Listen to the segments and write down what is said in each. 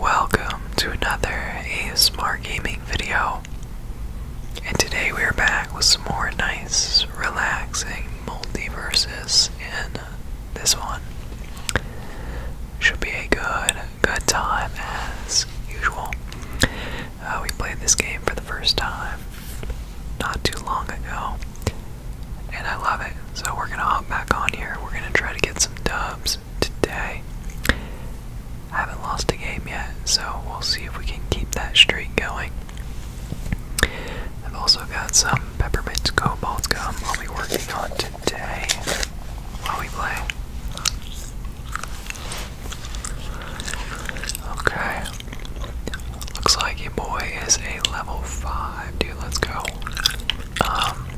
Welcome to another ASMR gaming video. And today we are back with some more nice, relaxing multiverses in this one. Should be a good, good time as usual. Uh, we played this game for the first time not too long ago and I love it. So we're gonna hop back on here. We're gonna try to get some dubs today. I haven't lost a game yet, so we'll see if we can keep that streak going. I've also got some peppermint cobalt gum I'll be working on today while we play. Okay. Looks like your boy is a level 5, dude. Let's go. Um,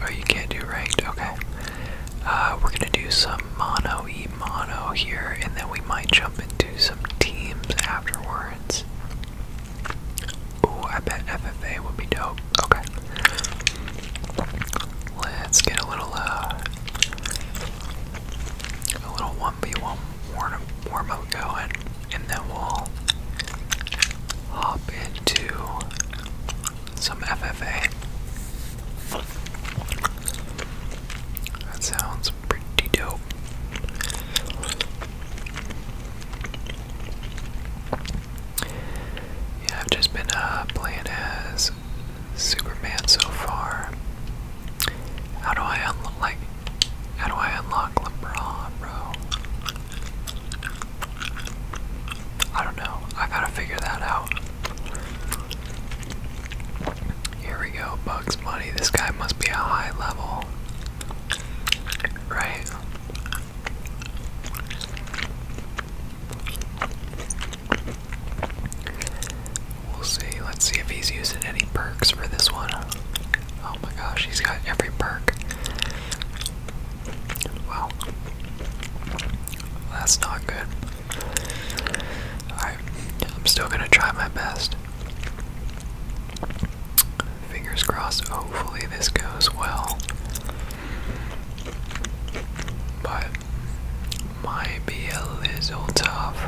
oh, you can't do ranked. Okay. Uh, we're gonna do some mono e mono here, and then we might jump into some teams afterwards. Ooh, I bet FFA would be dope. Okay. Let's get a little, uh, a little 1v1 warm, warm up going, and then we'll hop into some FFA. That sounds pretty dope. Yeah, I've just been uh, playing as Superman so far. How do I unlock how do I unlock LeBron, bro? I don't know. I gotta figure that out. Here we go, Bugs Bunny. This guy must be a high level. Right? We'll see. Let's see if he's using any perks for this one. Oh my gosh, he's got every perk. Wow. That's not good. Alright, I'm still gonna try my best. Fingers crossed, hopefully this goes well. But might be a little tough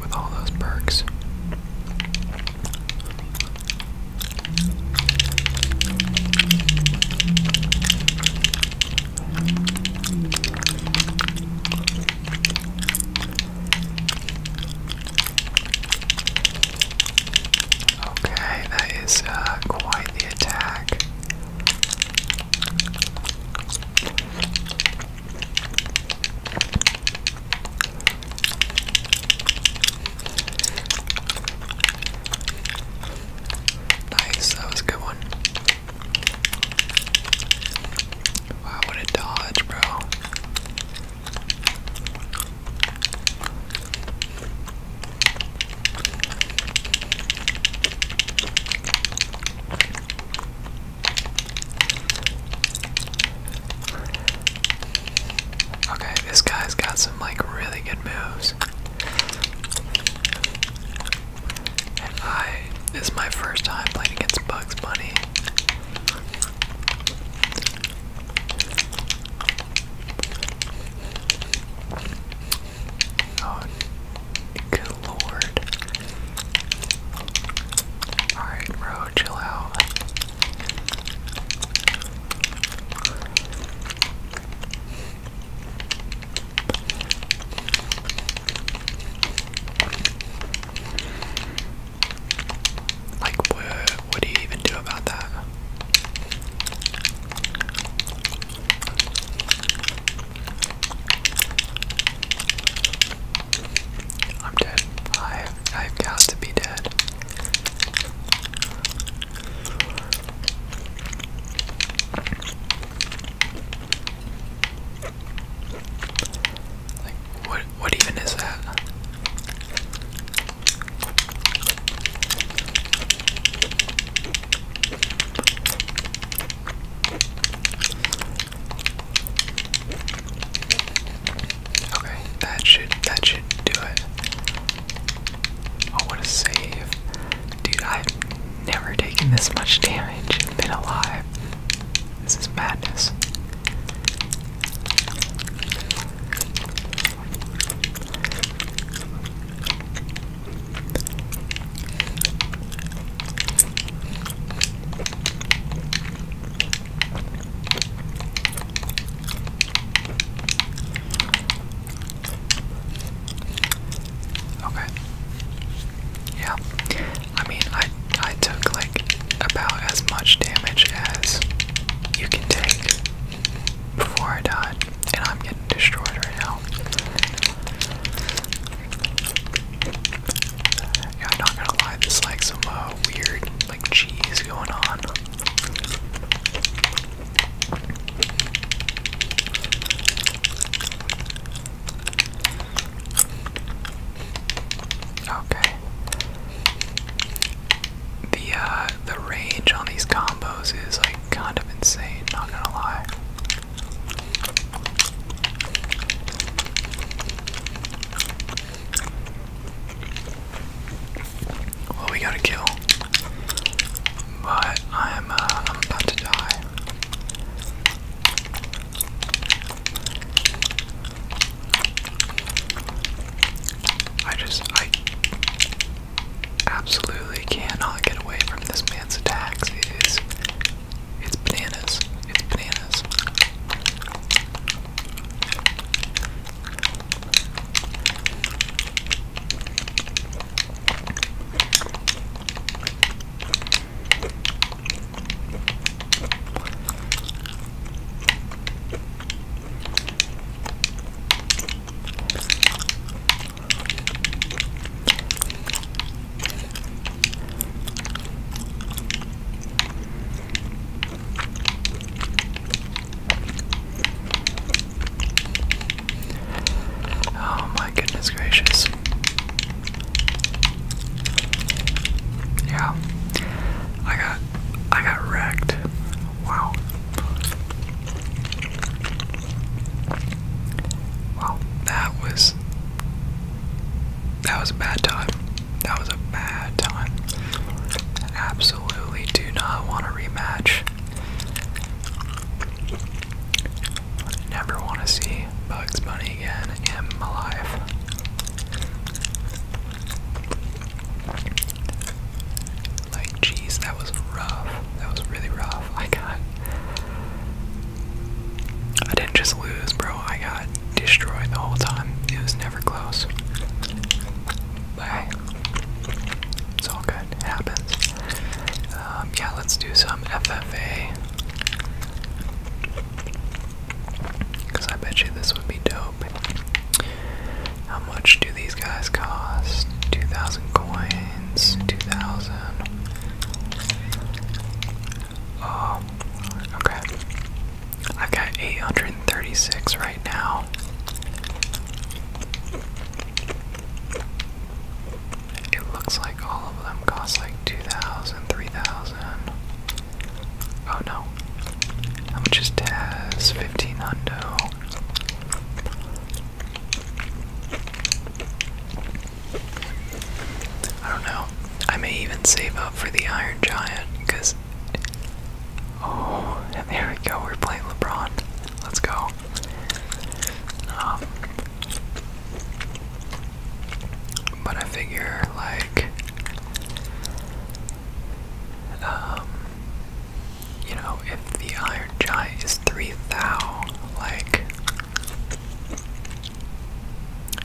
with all those perks. Okay, that is uh, quite the attack. Nice, that was a good one. Wow, what a dodge, bro. Okay, this guy's got some like really good moves. And I this is my first time playing against Bugs Bunny. Oh, good lord. Alright, bro, chill out. Like, what, what do you even do about that? I'm dead. I I've got to be dead. Like what what even is that? Okay, that should that should do it. Oh what a save. Dude, I've never taken this much damage and been alive. This is madness. Okay. Yeah. I mean, I I took like about as much damage as you can take before I die, and I'm getting destroyed right now. I'm not gonna lie, there's like some uh, weird like cheese going on. Okay the uh, the range on these combos is like kind of insane. Not gonna lie. Well, we got a kill, but I'm uh, I'm about to die. I just, I absolutely cannot get away from this man's attacks. It is, it's bananas. It's bananas. Oh, my goodness gracious. Yeah. I got I got wrecked. Wow. Wow, that was that was a bad time. That was a bad time. Absolutely do not want a rematch. Never want to see Bugs Bunny again in my life. Like, jeez, that was rough. That was really rough. I got. I didn't just lose, bro. I got destroyed the whole time. It was never close. But it's all good. happens. Um, yeah, let's do some FFA. Because I bet you this would be dope. How much do these guys cost? 2,000 coins, 2,000. Oh, okay. i got 836 right now. It looks like all of them cost like 2,000, Oh no. How much is Taz? 15 I don't know. I may even save up for the Iron Giant, because. Oh, and there we go. We're playing LeBron. Let's go. Um, but I figure, like. Um, you know, if the Iron Giant is three thou, like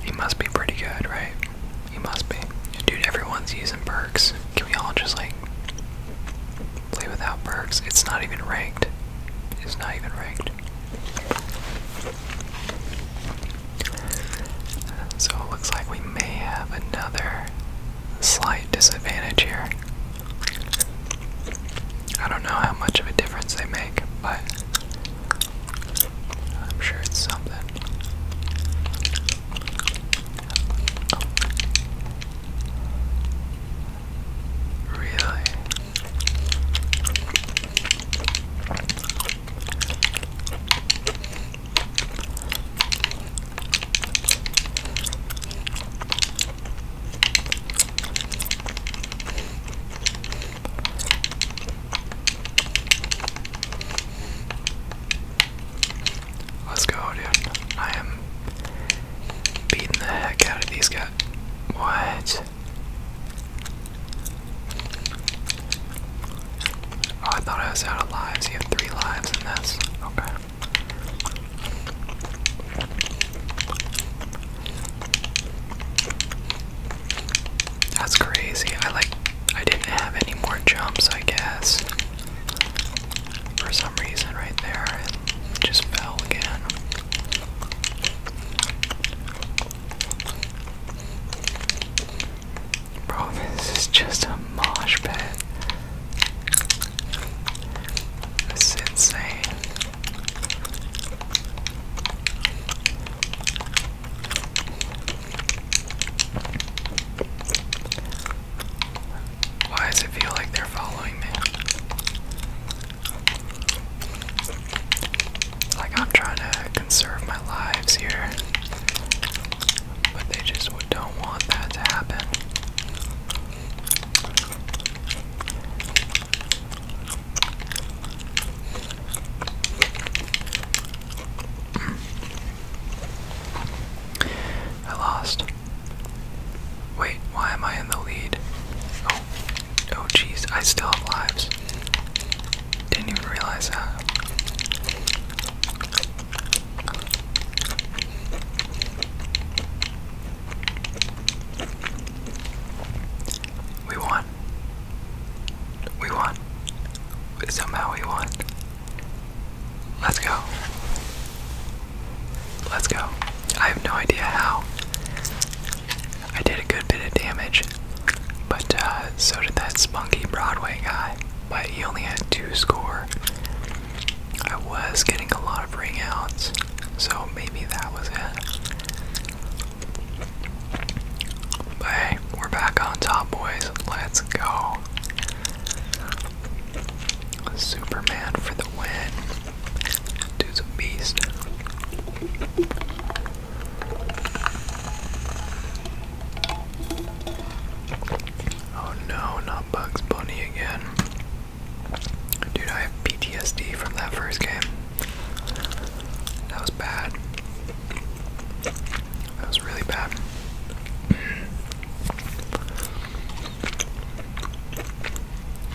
he must be pretty good, right? He must be. Dude, everyone's using perks. Can we all just like play without perks? It's not even ranked. It's not even ranked. So it looks like we may have another slight disadvantage here. I don't know how much of a difference they make, but I'm sure it's something. Really? Let's go, dude. I am beating the heck out of these guys. What? Oh, I thought I was out of lives. You have three lives in this. Okay. That's crazy. I like I didn't have any more jumps, I guess. For some reason right there and just fell again. Bro, this is just a marsh pit. This is insane. Why does it feel like they're following me? Like I'm trying to conserve my lives here. But they just don't want that to happen. I lost. Wait, why am I in the lead? Oh, oh jeez, I still have lives. Didn't even realize that. We won. We won. Somehow we won. Let's go. Let's go. I have no idea how. I did a good bit of damage, but uh, so did that spunky Broadway guy but he only had two score. I was getting a lot of ring outs, so maybe that was it. But hey, we're back on top, boys. Let's go. Superman for the win. Dude's a beast. Oh no, not Bugs Bunny again. Dude, I have PTSD from that first game. That was bad. That was really bad.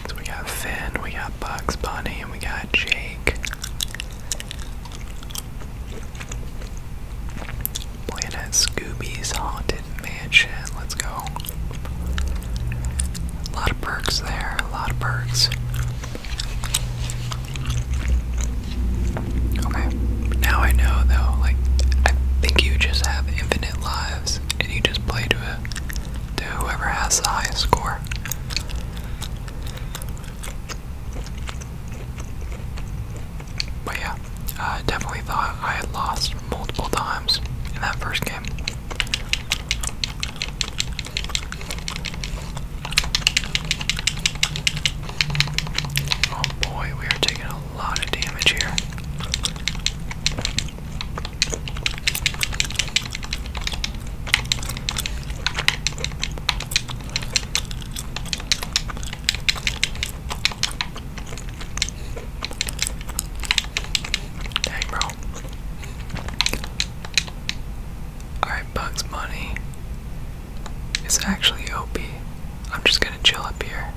So we got Finn, we got Bugs Bunny, and we got Jake. Planet Scooby's Haunted Mansion. Let's go. A lot of perks there, a lot of perks. Okay, now I know though, like, I think you just have infinite lives and you just play to, a, to whoever has the highest score. But yeah, I definitely thought I had lost multiple times in that first game. Oh boy, we are taking a lot of damage here. Dang, bro. Alright, Bugs Bunny is actually OP. I'm just gonna chill up here.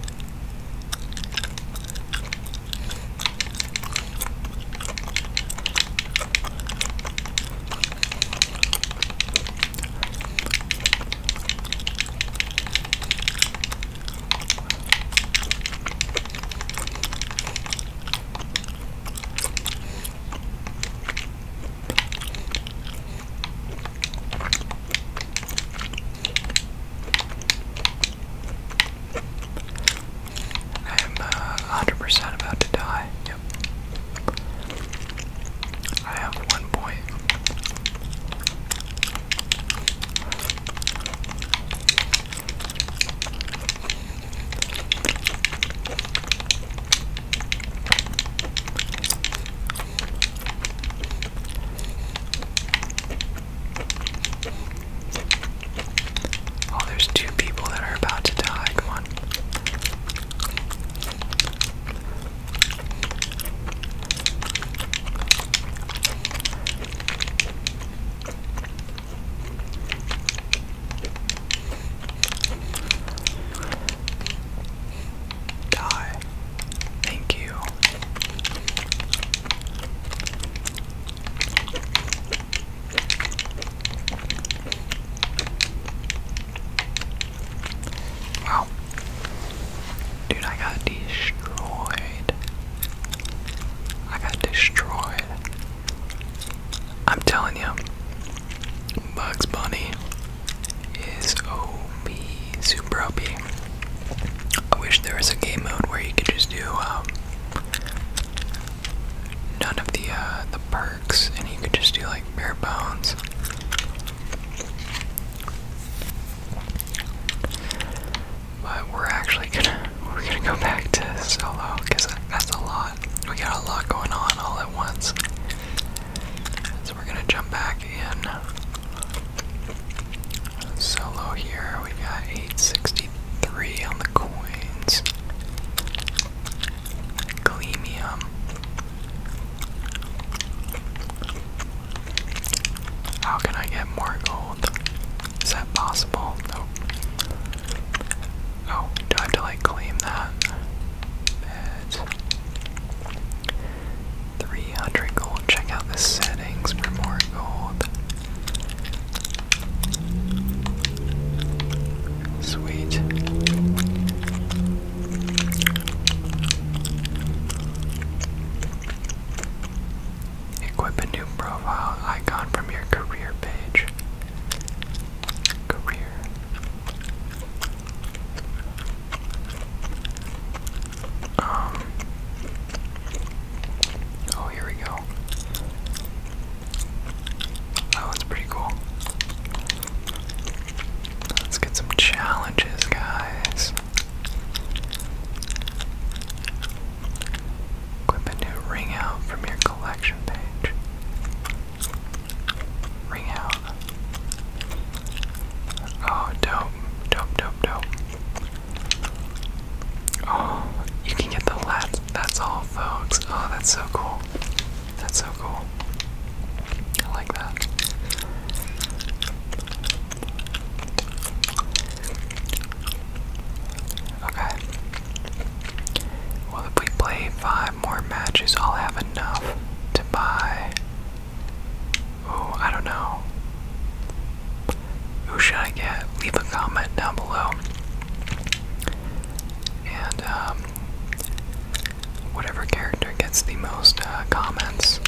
I am uh, 100% about to die I have one point. Oh, there's two people that are about to die. Come Die. Thank you. Wow. Dude, I got destroyed. I got destroyed. I'm telling you, Bugs Bunny is OP, super OP. I wish there was a game mode where you could just do um, none of the uh, the perks, and you could just do like bare bones. But we're actually gonna we're gonna go back to solo because that's a lot. We got a lot going on all at once. So we're gonna jump back in solo here. We got 863 on the coins. Glemium. How can I get more gold? Is that possible? Nope. Oh, do to like claim that? Beds. 300 gold. Check out the settings for more gold. Sweet. Equip a new profile icon from your career page. Career. Um. Oh, here we go. That was pretty cool. Let's get some challenges, guys. Equip a new ring out from your collection page. Ring out. Oh, dope. Dope, dope, dope. Oh, you can get the lats. That's all, folks. Oh, that's so cool. That's so cool. I like that. Okay. Well, if we play five more matches, I'll have enough to buy. Oh, I don't know. Who should I get? Leave a comment down below. And, um, whatever character gets the most uh, comments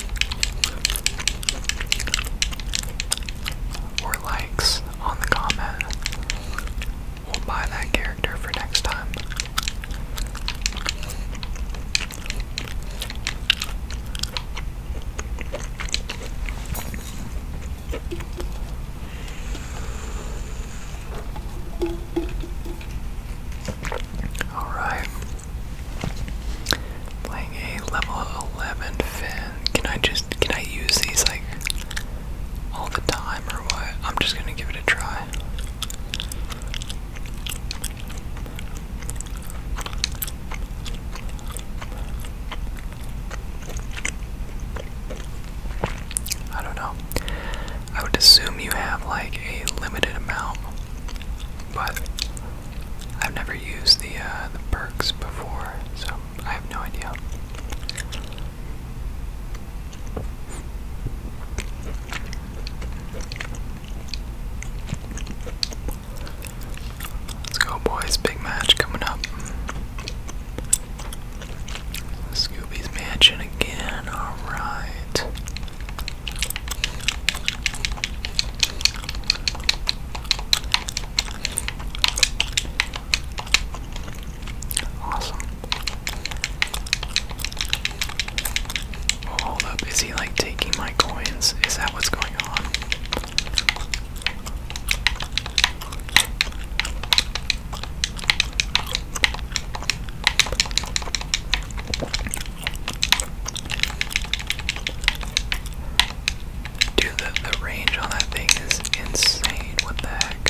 or likes on the comment will buy that character for next time. Alright. Playing a level 11 fin. Can I just, can I use these like all the time or what? I'm just gonna give it a try. I don't know. I would assume you have like a limited amount, but I've never used the uh, the perks before, so I have no idea. Let's go, boys! Big match coming up. Scooby's Mansion again, alright. Awesome. Oh, hold up, is he like taking my coins? Is that what's going on? Dude, the range on that thing is insane. What the heck?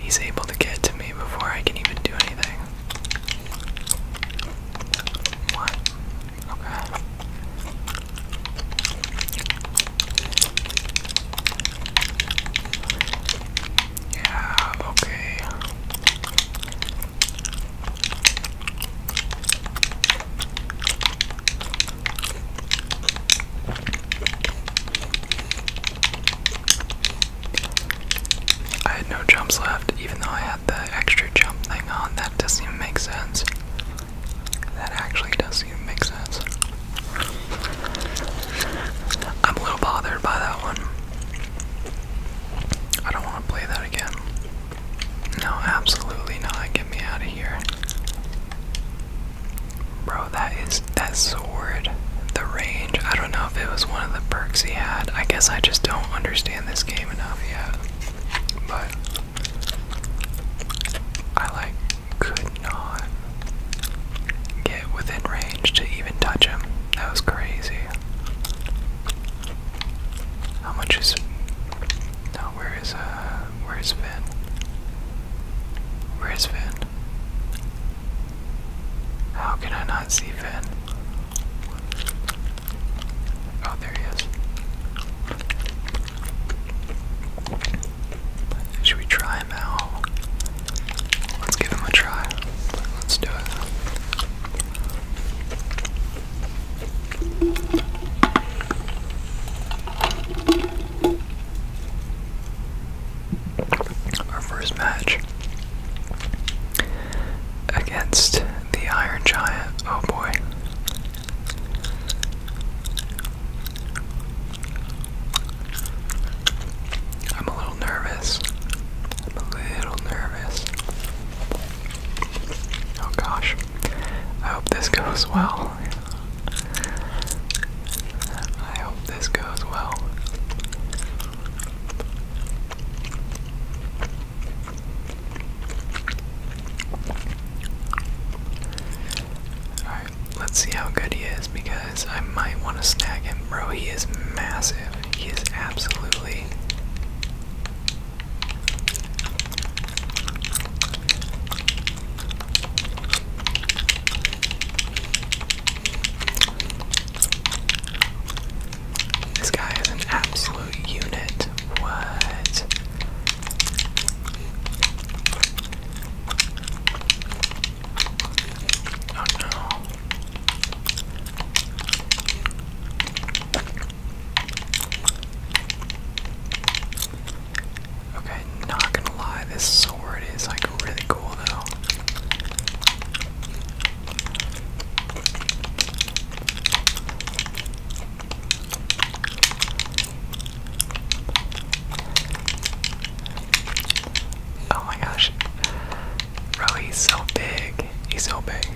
He's able to get to me before I can even do anything. What? Okay. Yeah, okay. I had no jumps left, even though I had the extra jump thing on. That doesn't even make sense. That actually does seem to make sense. I'm a little bothered by that one. I don't want to play that again. No, absolutely not. Get me out of here. Bro, that is that sword. The range. I don't know if it was one of the perks he had. I guess I just don't understand this game enough yet. But I like could not get within range to even touch him. That was crazy. How much is no? Where is uh? Where is Finn? Where is Finn? How can I not see Finn? Oh, there he is. Should we try him out? Let's give him a try. Let's do it. Our first match against the Iron Giant. Oh boy. I'm a little nervous. i a little nervous. Oh gosh. I hope this goes well. I hope this goes well. Alright, let's see how good he is because I might want to snag him. Bro, he is massive. He is absolutely. This guy is an absolute unit. What? Oh, okay, not gonna lie, this sword is like really cool though. Oh my gosh. Bro, he's so big. He's so big.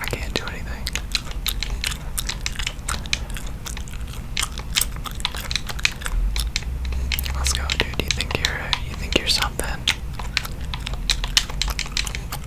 I can't do anything. Let's go, dude. You think you're you think you're something?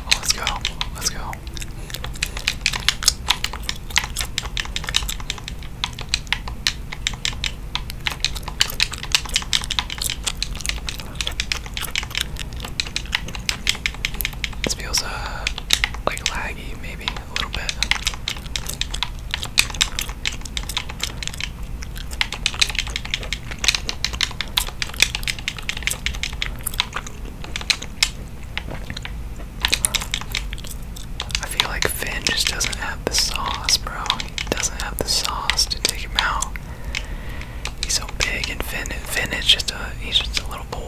Oh, let's go. Let's go. This feels uh like laggy maybe a little bit. I feel like Finn just doesn't have the sauce, bro. He doesn't have the sauce to take him out. He's so big, and Finn, Finn is just a—he's just a little boy.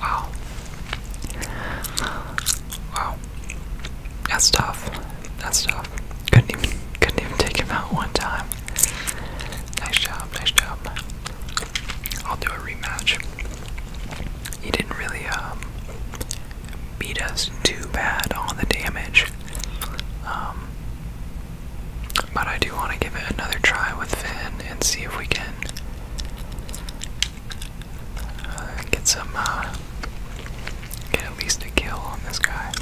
Wow. Wow. That's tough. That's tough. Couldn't even couldn't even take him out one time. Nice job, nice job. I'll do a rematch. He didn't really um, beat us too bad on the damage. Um, but I do want to give it another try with Finn and see if we can uh, get some, uh, get at least a kill on this guy.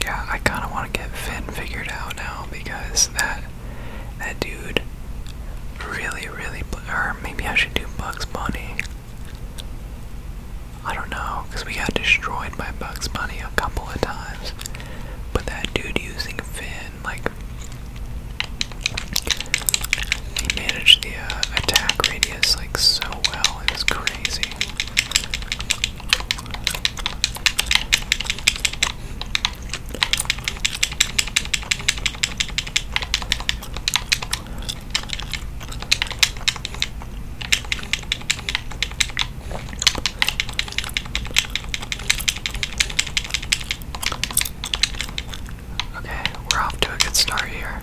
Yeah, I kind of want to get Finn figured out now because that that dude really, really. Or maybe I should do Bugs Bunny. I don't know, because we got destroyed by Bugs Bunny a couple of times. But that dude using Finn, like, he managed the uh, attack rate ideas like so well. It was crazy. Okay, we're off to a good start here.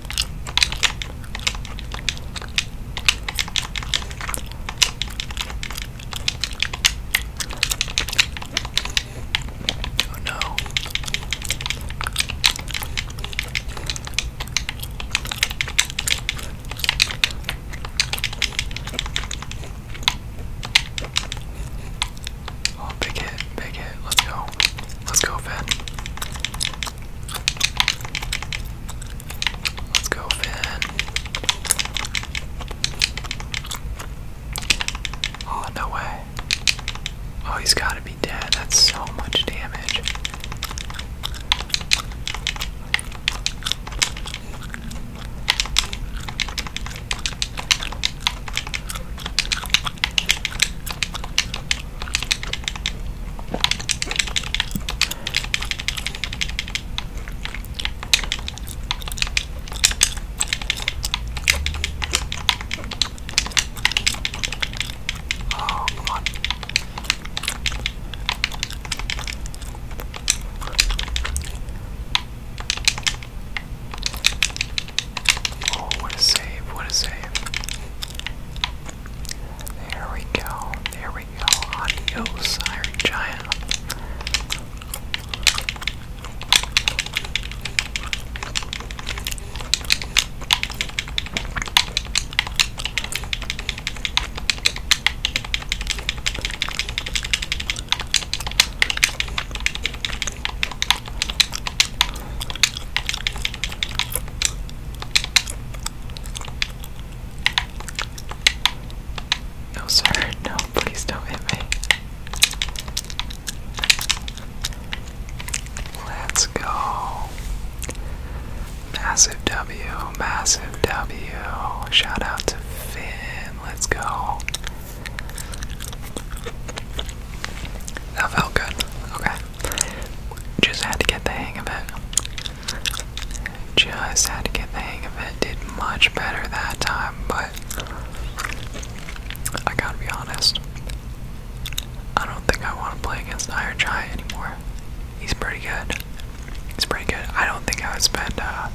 Oh no. Oh, big hit, big hit. Let's go. Let's go, Finn. Let's go, Finn. Oh, no way. Oh, he's gotta be dead. That's so much damage. Oh, come Oh, what a save, what a save. There we go. There we go. Adios, Iron Giant. No, sir. No, please don't hit me. Let's go. Massive W, massive W. Shout out to Finn. Let's go. That felt good. Okay. Just had to get the hang of it. Just had to get the hang of it. Did much better that time, but I gotta be honest. I don't think I want to play against Iron Giant anymore. He's pretty good. He's pretty good. I don't think I would spend uh,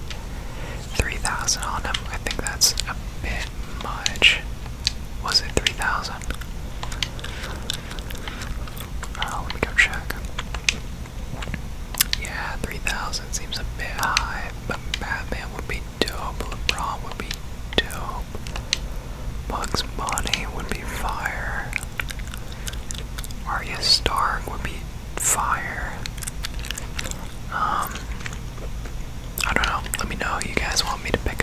3,000 on him. I think that's a bit much. Was it 3,000? Oh, let me go check. Yeah, 3,000 seems a bit high, but Batman would be dope, LeBron would be dope, Bugs Bunny would be fire, Arya Stark would be fire. Um, I don't know, let me know you guys want me to pick